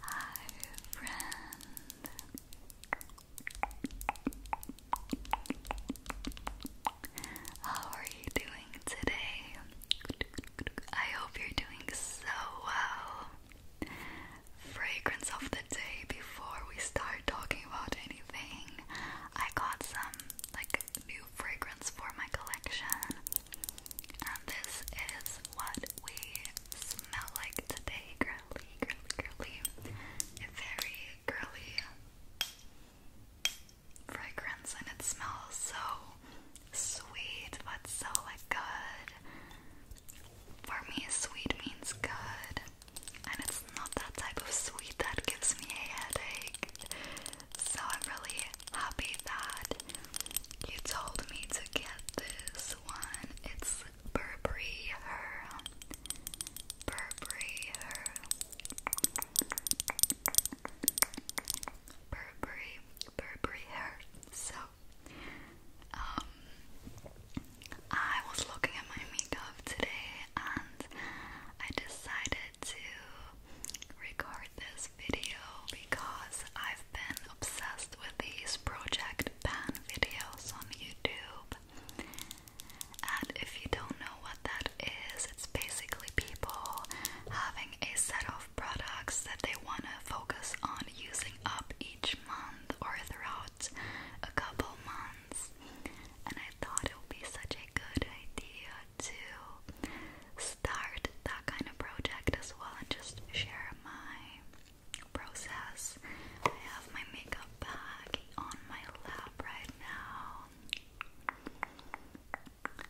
Hi, friend. How are you doing today? I hope you're doing so well. Fragrance of the day before we start talking about anything. I got some like new fragrance for my collection. And this is what we smell like today, girly, girly, girly. very girly fragrance, and it smells so sweet, but so like good. For me, sweet means good, and it's not that type of sweet that gives me a headache. So I'm really happy that you told me to get this one. It's Burberry Her. Burberry Her. Burberry, Burberry Her. So, um, I was looking at my makeup today and I decided to record this video because I've been obsessed with these Project Pan videos on YouTube. And if you don't know what that is, it's basically people having a set of products that they want to focus on using up each month or throughout a couple months. And I thought it would be such a good idea to start that kind of project as well and just share my process. I have my makeup bag on my lap right now.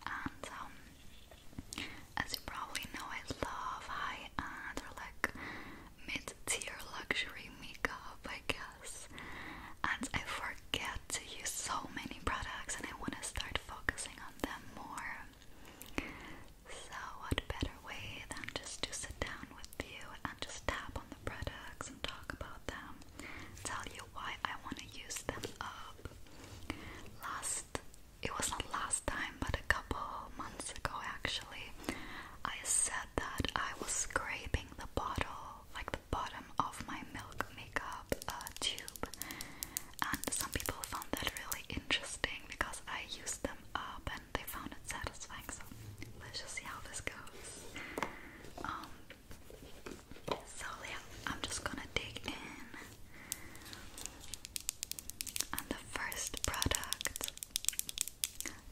And um, as you probably know, I love high end or like mid tier luxury makeup, I guess. And I forget to use so many products, and I want to start focusing on them more. So, what better way than just to sit down with you and just tap on the products and talk about them, tell you why I want to use them up. Last, it was not last time, but a couple months ago actually, I said that I was scraping the bottle, like the bottom of my milk makeup a tube, and some people found that really interesting because I used them up and they found it satisfying. So let's just see how this goes. Um, so yeah, I'm just gonna dig in. And the first product,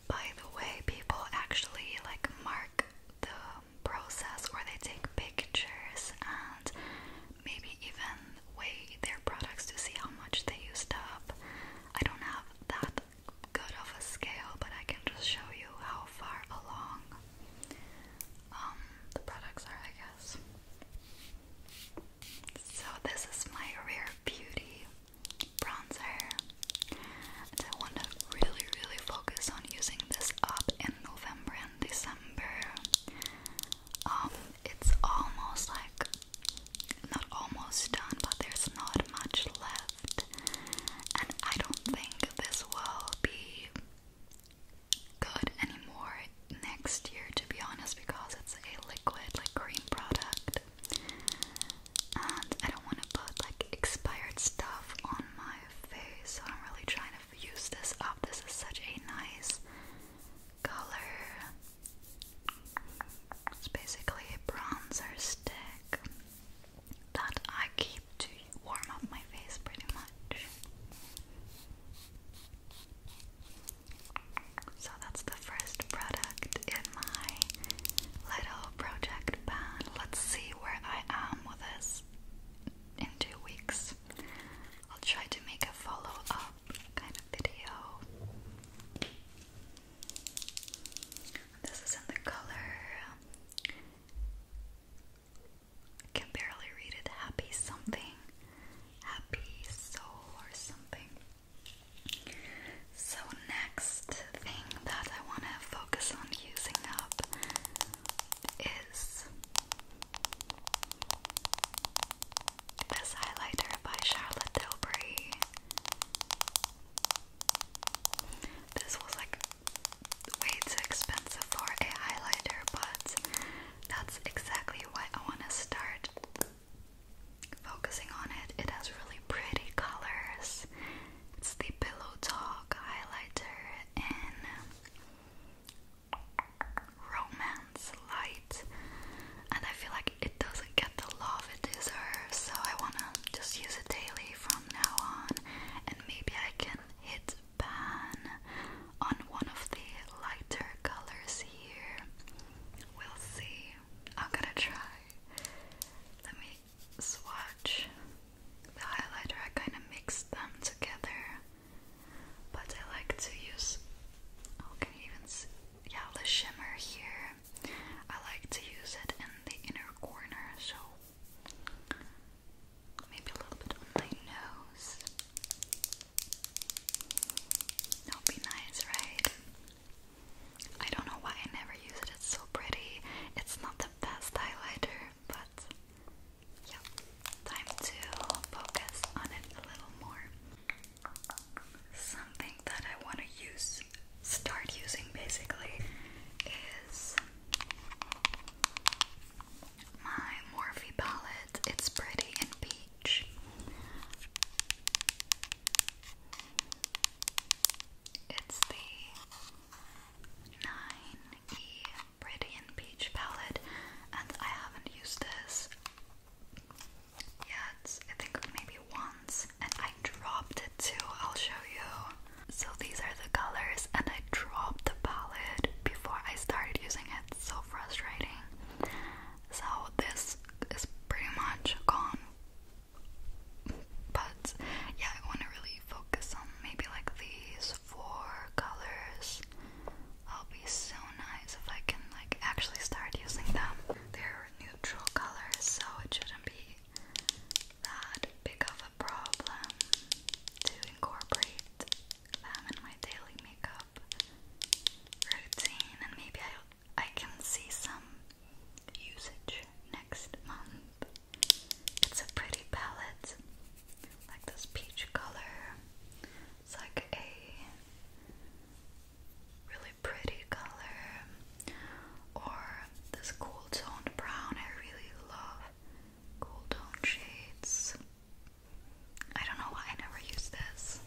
by the way, people actually like mark the process where they take pictures and maybe even weigh their products to see how much they used up. I don't have that good of a scale, but I can just show you how far along um, the products are, I guess. So, this is my Rare Beauty bronzer. And I want to really, really focus on using this up in November and December. Um, it's almost like not almost done, but there's not much left, and I don't think this will be good anymore next year, to be honest, because it's a liquid, like cream product, and I don't want to put like expired stuff on my face, so I'm really trying to use this up. This is such a nice color. It's basically a bronzer stick that I keep to warm up my face pretty much. So that's the first product in my little project pan. Let's see where I am with this in two weeks. I'll try to make a follow up kind of video. This is in the color. Um, can barely read it. Happy something. Happy soul or something. So, next thing that I want to focus on using up is this highlighter by Charlotte Tilbury. This was like way too expensive for a highlighter, but that's exactly why I want to start focusing on it. It has really pretty colors. It's the Pillow Talk highlighter in romance light, and I feel like it doesn't get the love it deserves. So I wanna just use it daily from now on, and maybe I can hit pan on one of the lighter colors here. We'll see. I'm gonna try. Let me swatch the highlighter. I kind of mixed them together but I like to use. Oh, even Yeah, the shimmer here. I like to use it in the inner corner, so maybe a little bit on my nose. That would be nice, right? I don't know why I never use it, it's so pretty. It's not the best highlighter, but Yep, time to focus on it a little more. Something that I want to use, start using basically, is my Morphe palette. It's pretty in peach. It's the 9E Pretty in Peach palette, and I haven't used this yet. I think maybe once, and I dropped it too. I'll show you. So these are the colors, and I dropped the palette before I started using it. so frustrating. So this is pretty much gone. But yeah, I want to really focus on maybe like these four colors. I'll be so nice if I can like actually start using them. They're neutral colors, so it shouldn't be that big of a problem to incorporate them in my daily makeup routine and maybe I I can see some usage next month. It's a pretty palette, like this peach color, it's like a really pretty color, or this cool toned brown. I really love cool toned shades. I don't know why I never use this.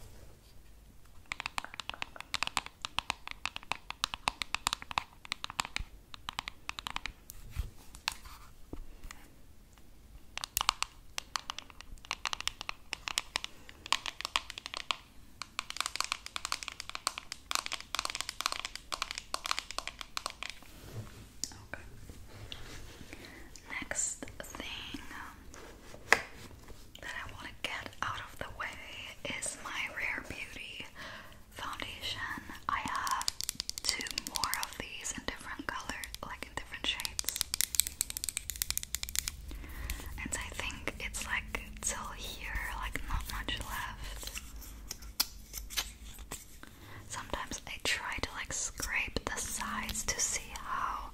Okay. Next thing that I want to get out of the way is my Rare Beauty foundation. I have two more of these in different colors, like different shades. And I think it's like till here, like not much left. Sometimes I try to like scrape the sides to see how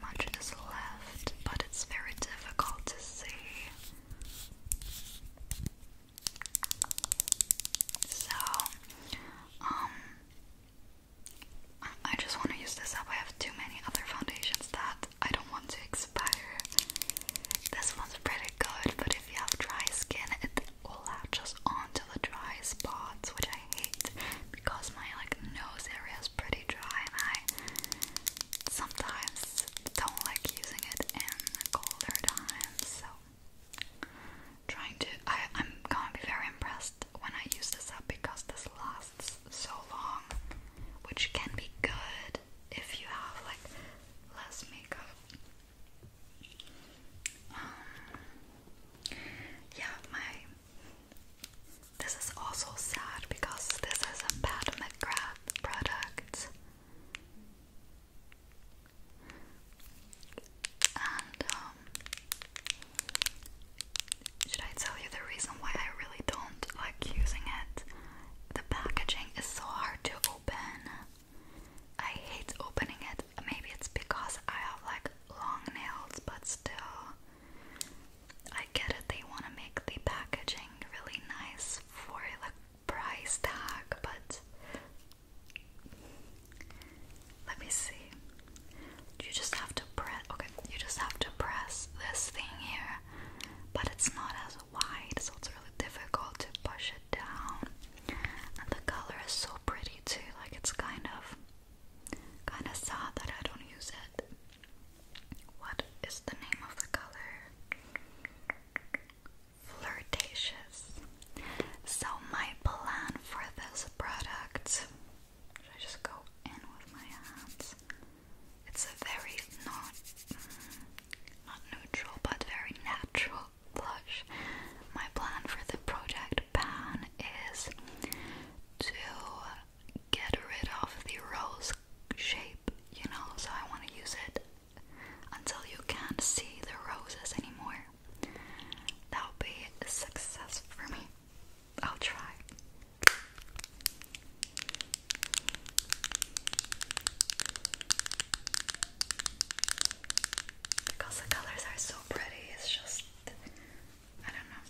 much is left, but it's very difficult to see. So, um, I just want to use this up. I have too many other foundations that I don't want to expire. This one's pretty good, but if you have dry skin, it will latch latches onto the dry spots, which I hate because my like nose area is pretty dry, and I sometimes don't like using it in colder times. So, trying to, I'm gonna be very impressed when I use this up because this lasts so long, which can be good if you have like less makeup. Um, yeah, my. This is also sad because this is a bad McGrath product. Um, should I tell you the reason why I really don't like using it? The packaging is so hard to open. I hate opening it. Maybe it's because I have like long nails, but still, I get it. They want to make the packaging really nice for like price tag, but let me see. You just have to press. Okay, you just have to press this thing here, but it's not as wide, so it's really difficult to push it down. And the color is so pretty too. Like it's kind of, kind of sad that I don't use it. What is the name of the color? Flirtatious. So my plan for this product should I just go in with my hands? It's a very not not neutral, but very natural blush. My plan for the project pan is to get rid of the rose shape, you know. So I want to use it until you can't see the roses anymore. That will be a success for me. I'll try. Because the colors are so pretty, it's just. I don't know.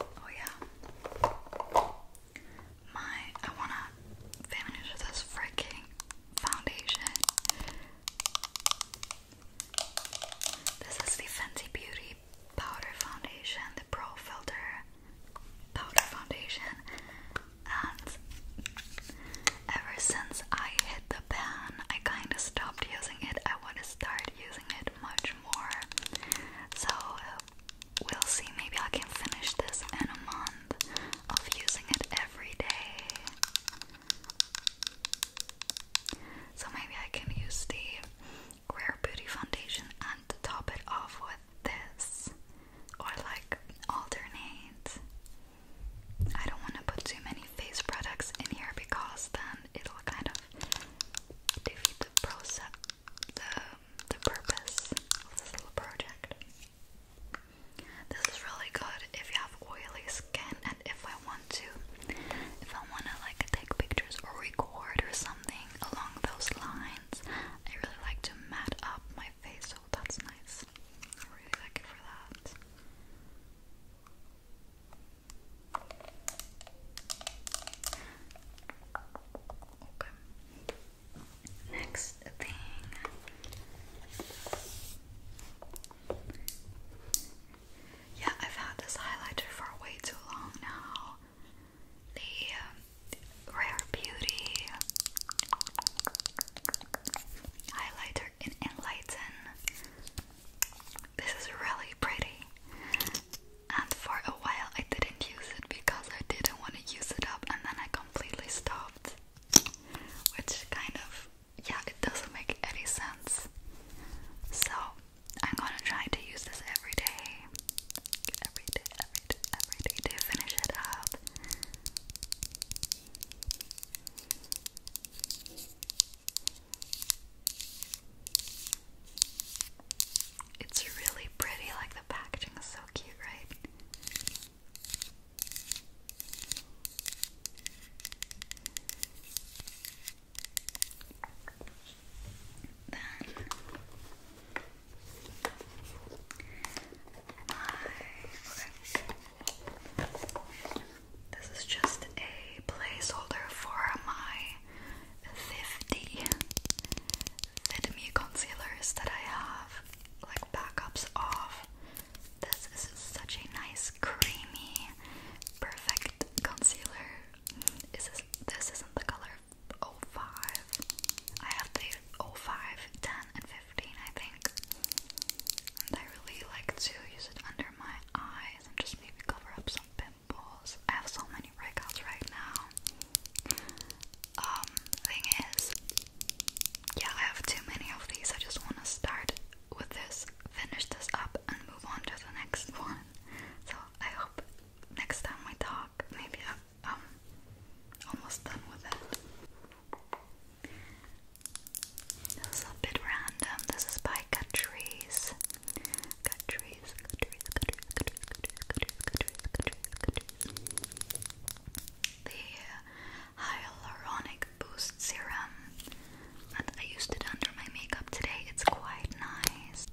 Oh yeah. My I wanna finish this freaking foundation. This is the Fenty Beauty powder foundation, the Pro Filter powder foundation, and ever since I hit the pan, I kind of stopped using it. I want to start using it much more. So we'll see. Maybe I can finish this in a month of using it every day. So maybe I can use the Rare Beauty Foundation and top it off with this or like alternate. I don't want to put too many face products in here because then it'll kind of defeat the process, the, the purpose of this little project. This is really good if you have oily skin and if I want to, if I want to like take pictures or record or something along those lines. I really like to mat up my face, so that's nice. I really like it for that. Okay. Next thing yeah, I've had this highlighter for way too long now the um, Rare Beauty highlighter in Enlighten. This is really pretty, and for a while I didn't use it because I didn't want to use it up, and then I completely stopped. Which kind of, yeah, it doesn't make any sense. So I'm gonna try to use this every day. Every day, every it's really pretty, like the packaging is so cute, right? then my This is just a placeholder for my 50 Vidme concealers that I have, like backups of. This is such a nice, creamy, perfect concealer. Is this, this isn't the color 05. I have the 05, and 15, I think. And I really like to use it under my eyes and just maybe cover up some pimples. I have so many breakouts right now. Um, thing is, yeah, I have too many of these. I just want to start with this, finish this up, and move on to the next one. So I hope next time we talk, maybe I'll um almost done with it. This is a bit random. This is by Catrice. Catrice, Catrice, Catrice, Catrice, Catrice, Catrice, Catrice, Catrice. The hyaluronic boost serum. I used it under my makeup today. It's quite nice.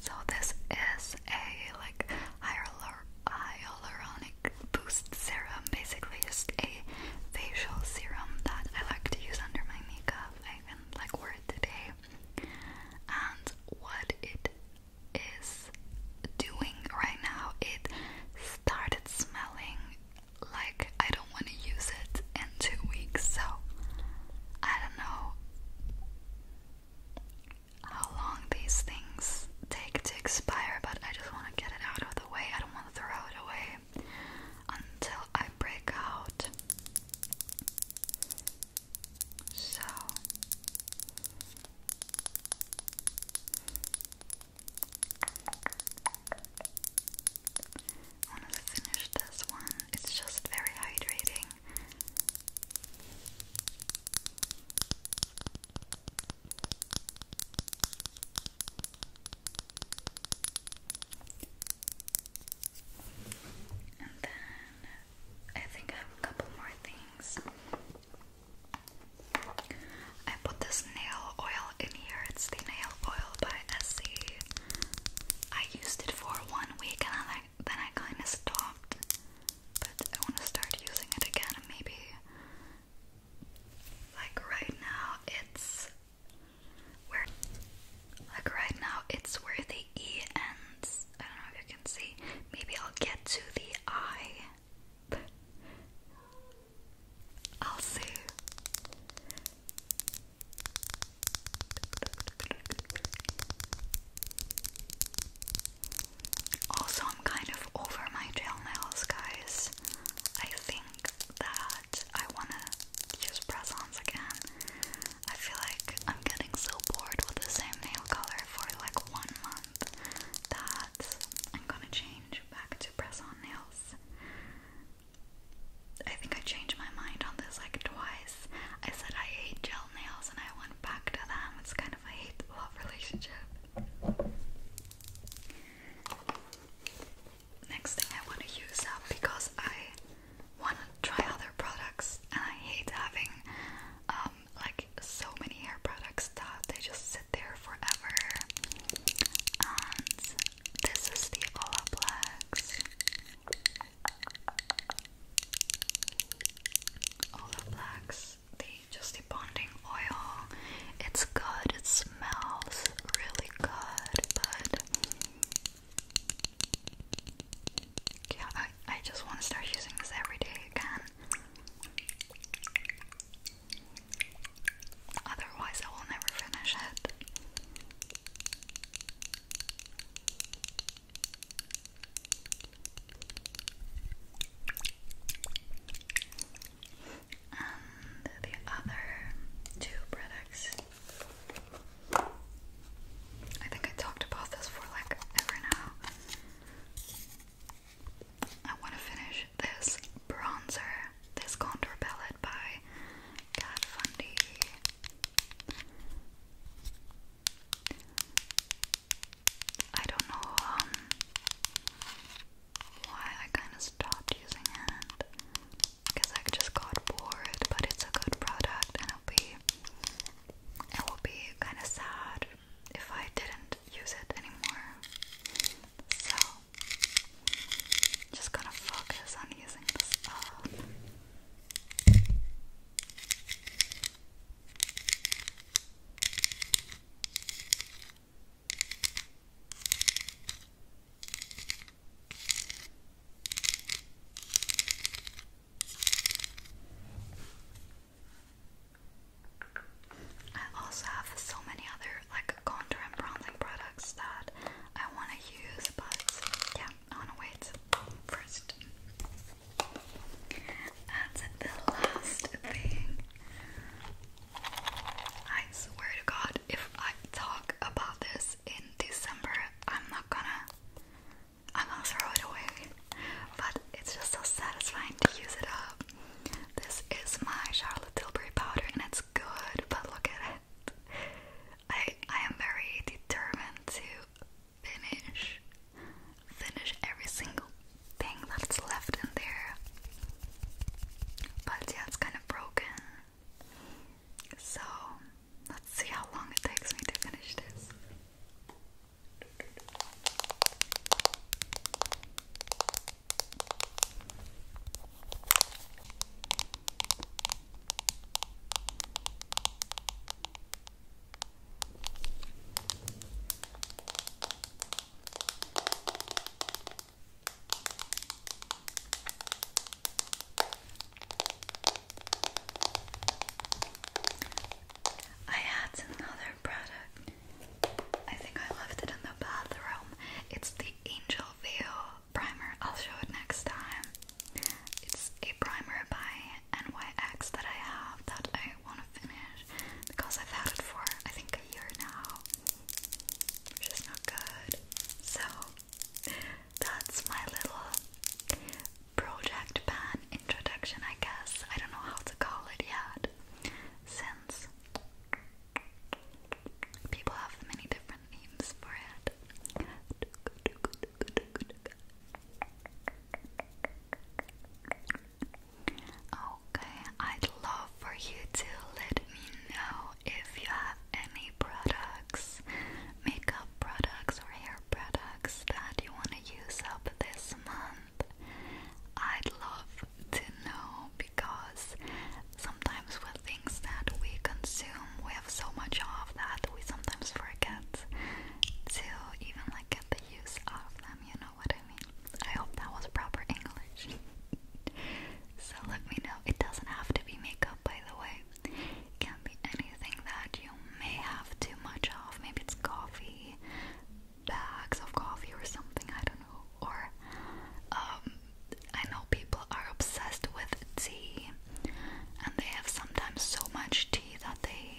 So this is a like hyaluronic hyaluronic boost serum, basically just a facial serum that I like to use under my makeup. I even like wore it today. And what it is doing right now, it started smelling like I don't want to use it in two weeks, so I don't know how long these things take to expire, but I just want to get it out of the way. I don't want to throw it away until I break out. So I finish this one. It's just very hydrating. And then I think I have a couple more things. I put this nail oil in here. It's the nail oil by Essie. I used it for one week and then I then I kind of stopped, but I want to start using it again. maybe like right now, it's where like right now it's where the e ends. I don't know if you can see. Maybe I'll get to the i. I'll see. Also, I'm kind of over my gel nails, guys. I think that I wanna use press ons again. I feel like I'm getting so bored with the same nail color for like one month that I'm gonna change back to press on nails. I think I changed my mind on this like twice. I said I hate gel nails and I went back to them. It's kind of I hate the love relationship. Next I want to use up because I want to try other products and I hate having um, like so many hair products that they just sit there forever. And this is the Olaplex Olive Black's the Just Bonding Oil. It's good, it smells really good, but yeah, I, I just want to start using this every day again. Otherwise, I will never finish it. And the other two products. I think I talked about this for like ever now. I want to finish this bronzer, this contour palette by Kat Von I don't know um, why I kind of stopped using it because I just got bored. But it's a good product, and it'll be it will be kind of sad if I didn't use it anymore. So just gonna focus on using this I also have so many other like contour and bronzing products that I want to use, but yeah, I want to wait first. And the last thing, I swear to God, if I talk about this in December, I'm not gonna, I'm gonna throw it away. But it's just so satisfying to use it up. This is my Charlotte Tilbury powder, and it's good. But look at it. I I am very determined to finish finish every single thing that's left in there but yeah it's kind of broken so let's see how long it takes me to finish this I had another product. I think I left it in the bathroom. It's the Angel Veil primer. I'll show it next time. It's a primer by NYX that I have that I I want to finish because I've had it for I think a year now, which is not good. So that's my little project pan introduction, I guess. I don't know how to call it yet, since people have many different names for it. Okay, I'd love for you to let me know if you have any products, makeup products or hair products that you want to use up this month. I'd love to know because sometimes with things that we consume, we have so much of that we sometimes forget to even like use out of them, you know what I mean? I hope that was proper English. so let me know. It doesn't have to be makeup, by the way. can be anything that you may have too much of. Maybe it's coffee, bags of coffee or something, I don't know. Or, um, I know people are obsessed with tea, and they have sometimes so much tea that they